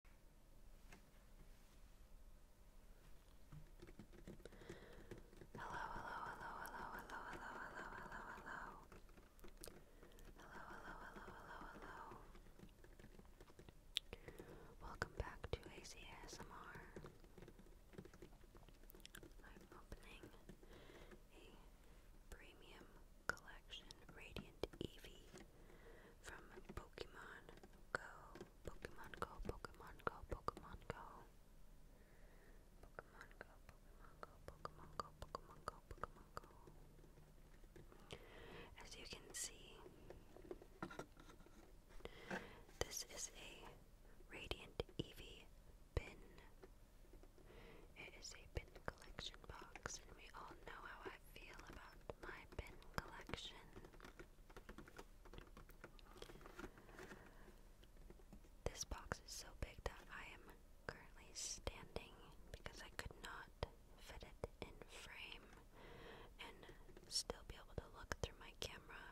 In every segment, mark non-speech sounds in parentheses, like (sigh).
Hello, hello, hello, hello, hello, hello, hello, hello, hello. Hello, hello, hello, hello, hello. Welcome back to ACSMR. I'm opening a premium collection Radiant Evie from Pokemon Go, Pokemon Go, Pokemon Go, Pokemon Go. Pokemon Go, Pokemon Go, Pokemon Go, Pokemon Go, As you can see, this is a Radiant Evie bin. It is a bin collection box, and we all know how feel about my bin collection. This box is so big that I am currently standing because I could not fit it in frame and still be able to look through my camera.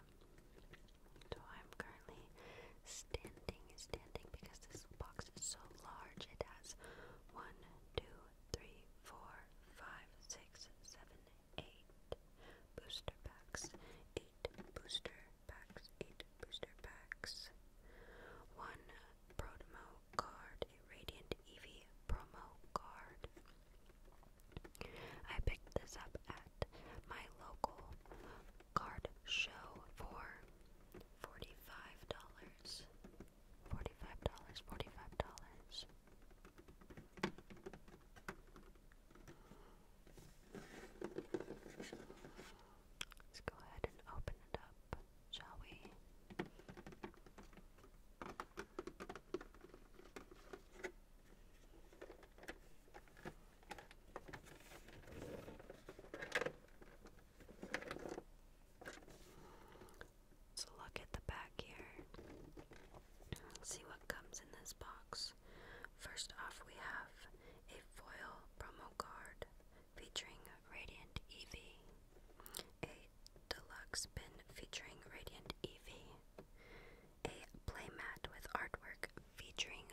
So I'm currently standing, standing because this box is so large. It has one, two, three, four, five, six, seven, eight booster packs, eight booster packs, eight booster packs, one promo card, a radiant Eevee promo card. I picked this up at my local card show for $45. Forty-five dollars, forty-five dollars. Let's go ahead and open it up, shall we? So look at the back here. See what comes in this box. First off, we have a foil promo card featuring Radiant Eevee, a deluxe bin featuring Radiant Eevee, a playmat with artwork featuring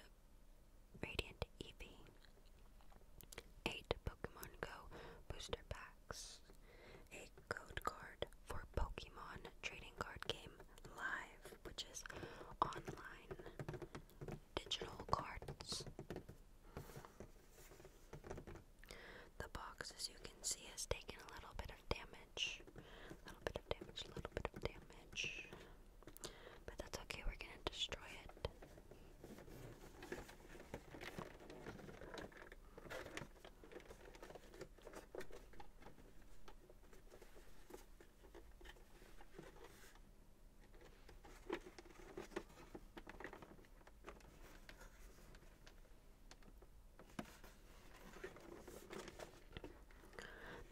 Radiant Eevee, 8 Pokemon Go booster pack a code card for Pokemon trading card game live, which is online digital cards. The box, as you can see, has taken a little bit of damage. A little bit of damage, a little bit of damage. But that's okay, we're gonna destroy it.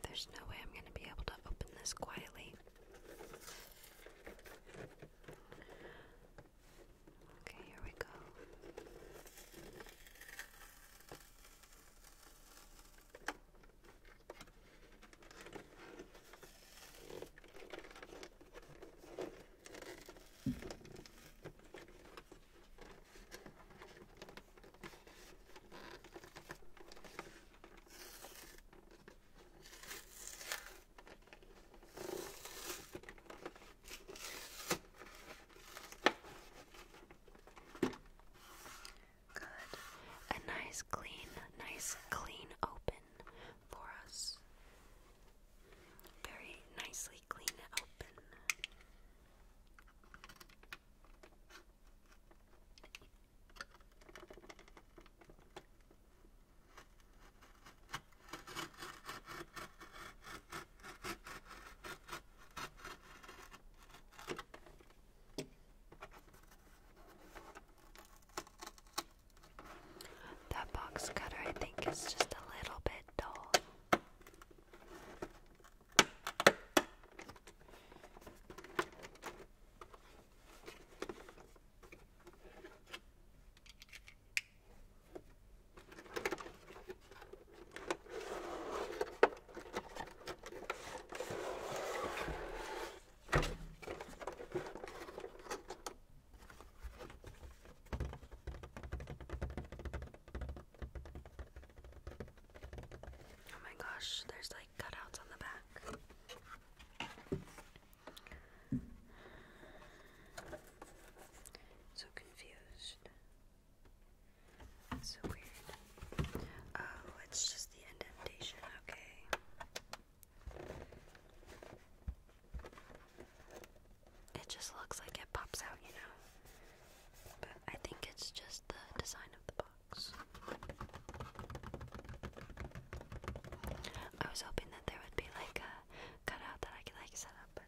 There's no way I'm going to be able to open this quietly. Okay, here we go. Okay, Good. A nice clean, nice clean open for us. Very nicely clean open. That box cutter, I think, is just a little bit dull. Oh my gosh, there's like cutouts on the back. So confused so weird. Oh, it's just the indentation, okay. It just looks like it pops out, you know. But I think it's just the design of the box. I was hoping that there would be like a cutout that I could like set up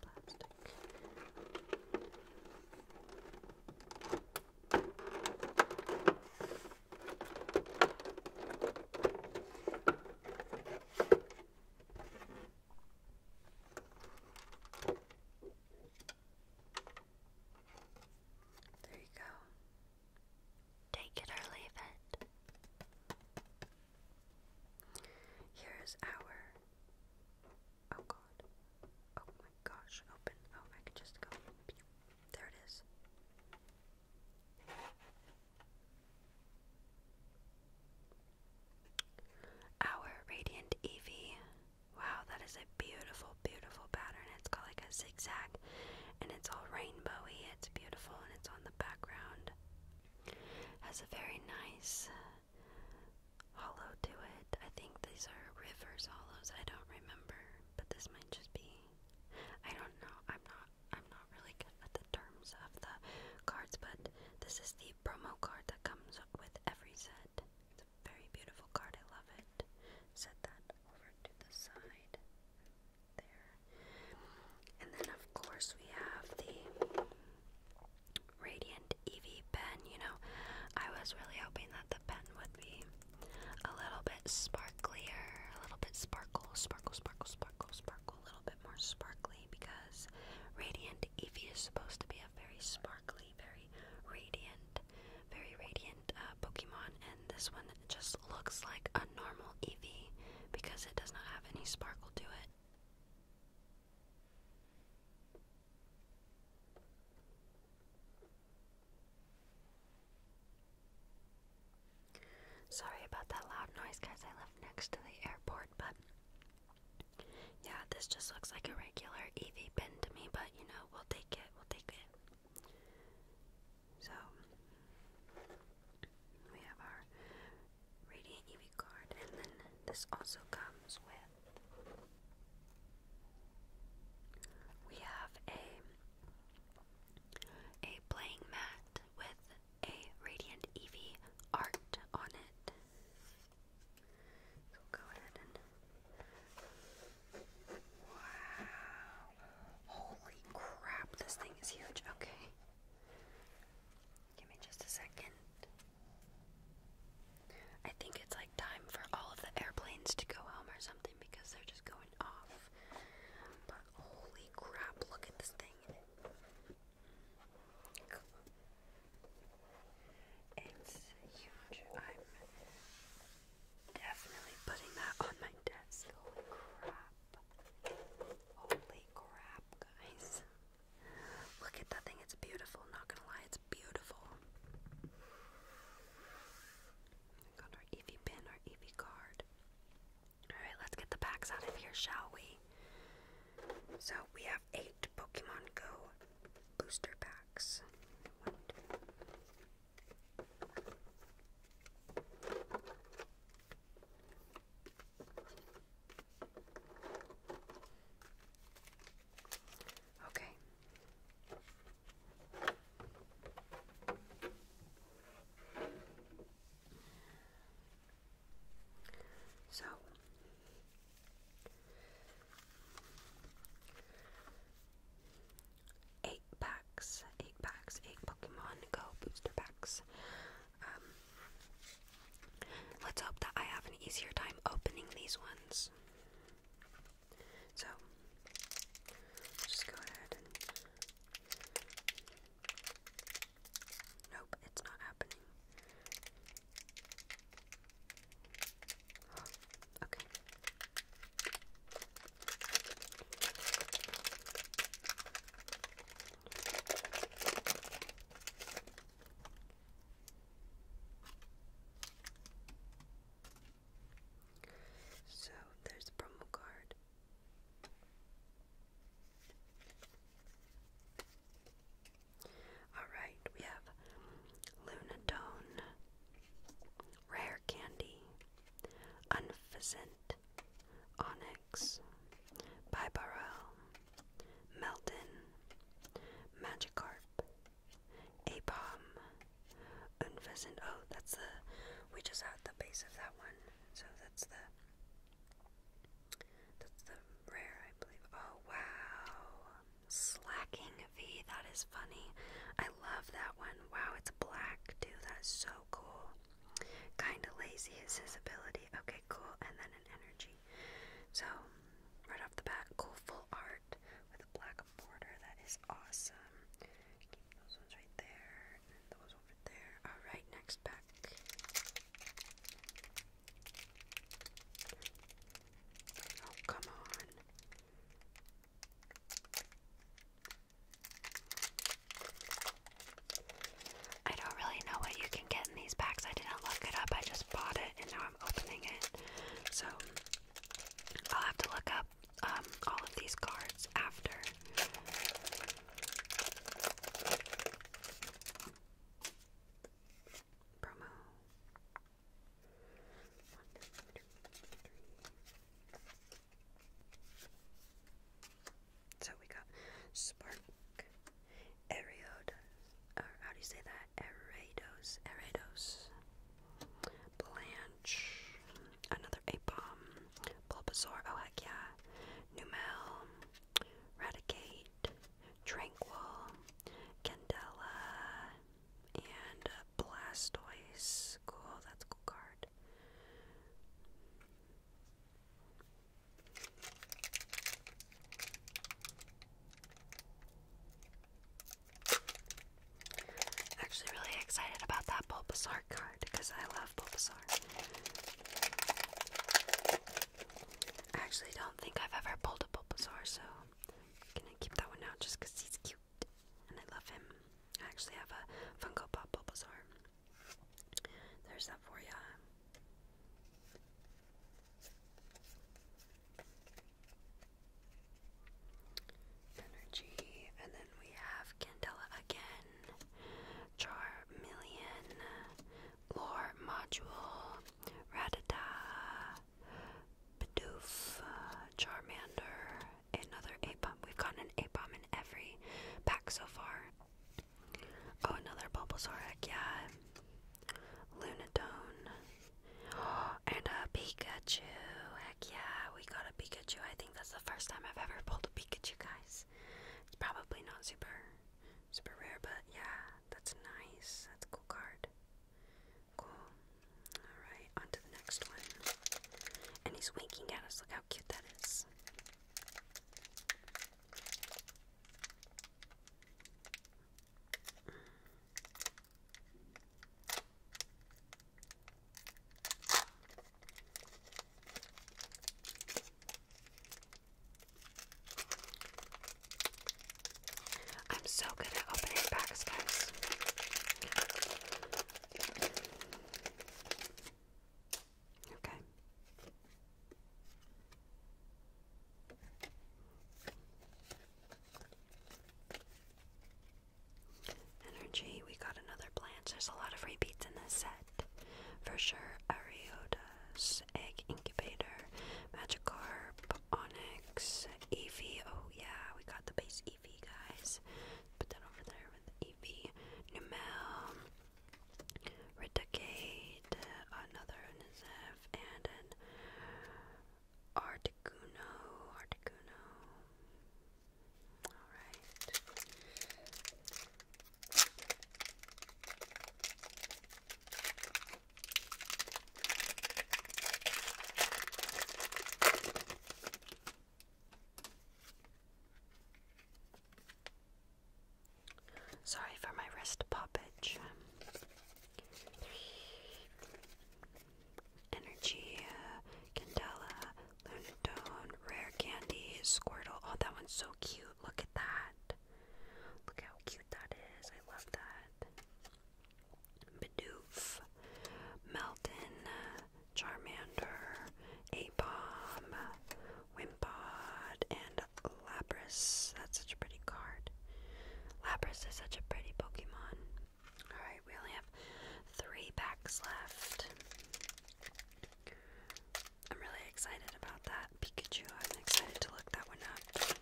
plastic. There you go. Take it or leave it. Here's our Oh god. Oh my gosh, open. Oh, I could just go. There it is. Our Radiant Eevee. Wow, that is a beautiful, beautiful pattern. It's got like a zigzag and it's all rainbowy. It's beautiful and it's on the background. Has a very nice hollow to it. I think these are rivers hollows. I don't remember, but this might just be. I don't know. I'm not. I'm not really good at the terms of the cards, but this is the promo card that comes with every set. It's a very beautiful card. I love it. Set that over to the side there, and then of course we have the Radiant Eevee pen. You know, I was really hoping that the pen would be a little bit sparklier, a little bit sparkle, sparkle, sparkle, sparkle, sparkle, a little bit more sparkly because Radiant Eevee is supposed to be a very sparkly, very radiant, very radiant uh, Pokemon, and this one just looks like a normal Eevee because it does not have any sparkle to it. Sorry about that loud noise, guys. I live next to the airport, but yeah, this just looks like a regular EV bin to me, but you know, we'll take it. We'll take it. So, we have our Radiant EV card, and then this also comes with. We have a a playing mat with a Radiant EV art on it. go ahead and. Wow! Holy crap! This thing is huge. Okay. Give me just a second. I think it's like time for all of the airplanes to go home or something because they're just going off. But holy crap, look at this thing. It's huge. I'm definitely putting that on my desk. Holy crap. Holy crap, guys. Look at that thing, it's beautiful, not gonna lie, it's beautiful. Got our Eevee pin, our Eevee card. Alright, let's get the packs out of here, shall we? So we have eight Pokemon Go booster packs. Okay. So eight packs, eight packs, eight Pokemon Go booster packs. Um, Let's hope that I have an easier time opening these ones. So, just go ahead Nope, it's not happening. okay. So there's the promo card. Alright, we have Lunatone, Rare Candy, Unpheasant, Onyx, Bibarel, Melton, Magikarp, Apom, Unpheasant. Oh, that's the. We just had the base of that one. So that's the. That's the rare, I believe. Oh, wow. Slacking V. That is funny. I love that one. Wow, it's black too. That is so cool. Kinda lazy is his ability. Okay, cool. And then an energy. So, right off the bat, cool full art with a black border. That is awesome. those ones right there, and those over there. Alright, next pack. Oh, come on. I don't really know what you can get in these packs. I didn't look it up. I just bought it in now opening it. So I'll have to look up um, all of these cards after. Promo. So we got Spark Eriod, or how do you say that? Erados, Erados, Blanche, another Apom, Bulbasaur, oh heck yeah, Numel, Radicate, Tranquil, Candela, and uh, Blastoise. Cool, that's cool card. Actually, really excited about that Bulbasaur card because I love Bulbasaur. I actually don't think I've ever pulled a Bulbasaur, so I'm gonna keep that one out just because he's cute and I love him. I actually have a Funko Pop Bulbasaur. There's that for ya. Energy, and then we have Candela again, Charmeleon, Lore Module, Ratata, Bidoof, Charmander, another A-bomb. We've gotten an A-bomb in every pack so far. Oh, another Bulbasaur, yeah. Lunatone, (gasps) and a Pikachu. Heck yeah, we got a Pikachu. I think that's the first time I've ever pulled a Pikachu, guys. It's probably not super, super rare, but yeah, that's nice. That's a cool card. Cool. Alright, on to the next one. And he's winking at us. Look how cute that is. I'm so good at opening packs, guys. Okay. Energy, we got another plant. There's a lot of repeats in this set. For sure, Ariodus, Egg Incubator, Magikarp, Onyx, Eevee. Oh yeah, we got the base Eevee, guys. Put that over there with the Numel, Ridicate, another Niziv, and Articuno, Articuno. All right. Sorry for my wrist poppage. Energy, Candela, Lunatone, Rare Candy, Squirtle. Oh, that one's so cute. Look at that. Look how cute that is. I love that. Bidoof, Melton, Charmander, Apom, Wimpod, and Lapras. That's such a pretty card. Lapras is such a pretty Pokemon. Alright, we only have three packs left. I'm really excited about that. Pikachu, I'm excited to look that one up.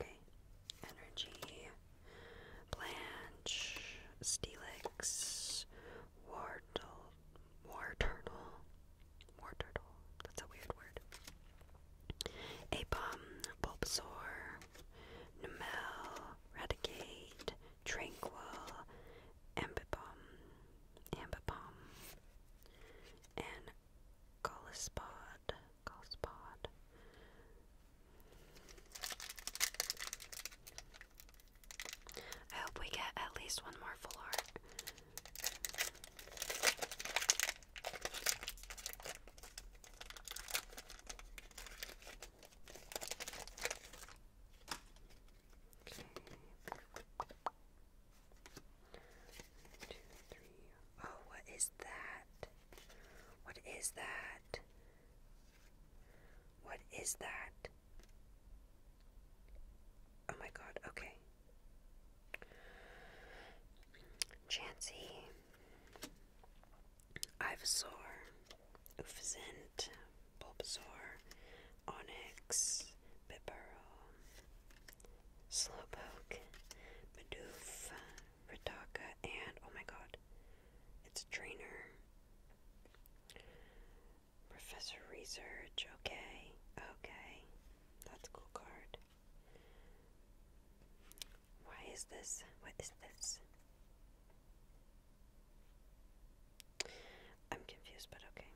Okay. Energy, Blanche, Steelix, War Turtle, War Turtle, War Turtle, that's a weird word. Apom, Bulbasaur, Numel, Raticate, Tranquil, Ambipom, ambipom, and Golispod. Golispod. I hope we get at least one more full art. Okay. One, two, three. Oh, what is that? What is that? What is that? Oh my god, okay. Chansey, Ivysaur, Ufazint, Bulbasaur, Onyx, Bibaro, Slowpoke, Bidoof, Ritaka, and oh my god, it's a trainer. Professor Research, okay, okay. That's cool card. Why is this? What is this? I'm confused, but okay.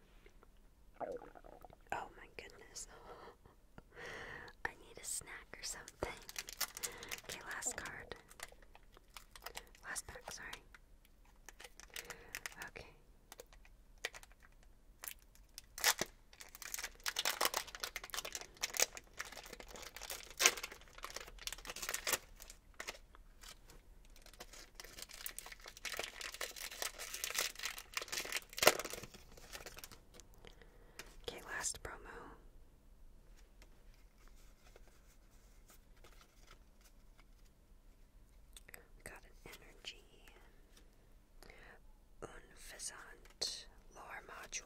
Oh my goodness. (laughs) I need a snack or something. Okay, last card. Last pack, sorry. Okay. Okay, last promo. got an energy, Unfazant, Lore Module,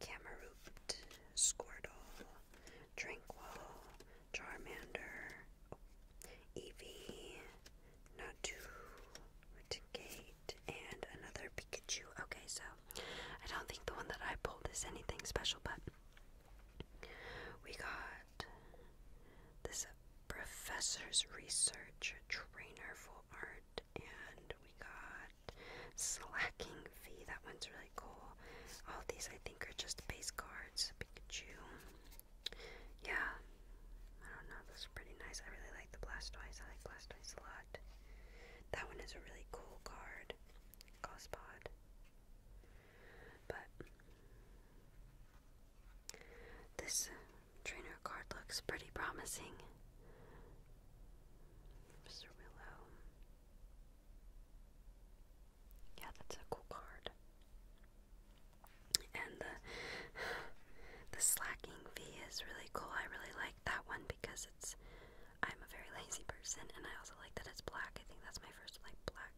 Cameroot, Squirtle, Tranquil, Charmander, Eevee, Natu, Reticate, and another Pikachu. Okay, so I don't think the one that I pulled is anything special, but we got this Professor's Research Trainer Full Art, and we got Slacking Fee. That one's really cool. All these I think are just base cards. Pikachu. Yeah, I don't know. This is pretty nice. I really like the Blastoise. I like Blastoise a lot. That one is a really cool card. Gospod. But this trainer card looks pretty promising. Mr. Willow. Yeah, that's a cool card. And the the slacking fee is really cool. I really like that one because it's I'm a very lazy person and I also like that it's black. I think that's my first like black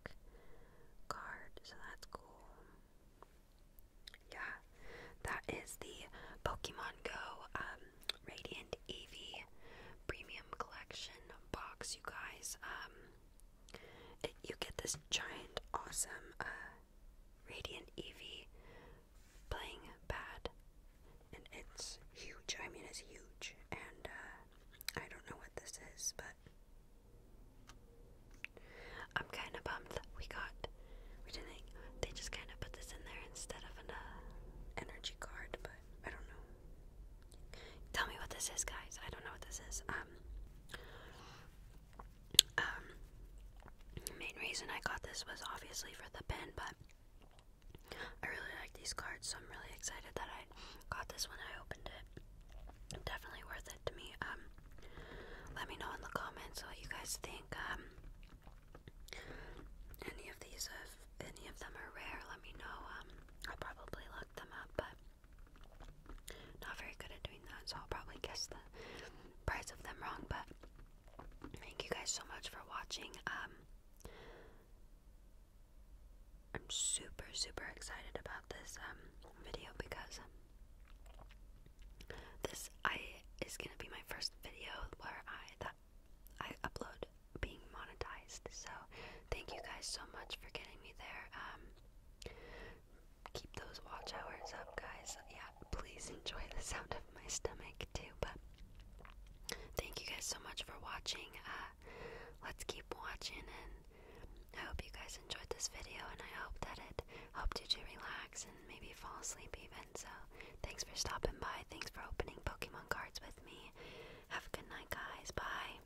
card, so that's cool. Yeah. That is the Pokemon Go um Radiant Eevee Premium Collection box, you guys. Um you get this giant, awesome, uh, Radiant Eevee playing bad, and it's huge. I mean, it's huge, and uh, I don't know what this is, but I'm kind of bummed we got. We didn't. They just kind of put this in there instead of an uh, energy card, but I don't know. Tell me what this is, guys. I don't know what this is. Um, um, the main reason I got this was obviously for the pin, but I really like these cards, so I'm really excited that I got this when I opened it. Definitely worth it to me. Um, let me know in the comments what you guys think. Um, any of these, if any of them are rare, let me know. Um, I'll probably look them up, but not very good at doing that, so I'll probably guess the price of them wrong, but thank you guys so much for watching. Um, I'm super super excited about this um, video because um, this I is gonna be my first video where I I upload being monetized. So thank you guys so much for getting me there. Keep those watch hours up, guys. Yeah, please enjoy the sound of my stomach too. But thank you guys so much for watching. Uh, let's keep watching, and I hope you guys enjoyed this video. And I hope that it helped you to relax and maybe fall asleep even. So thanks for stopping by. Thanks for opening Pokemon cards with me. Have a good night, guys. Bye.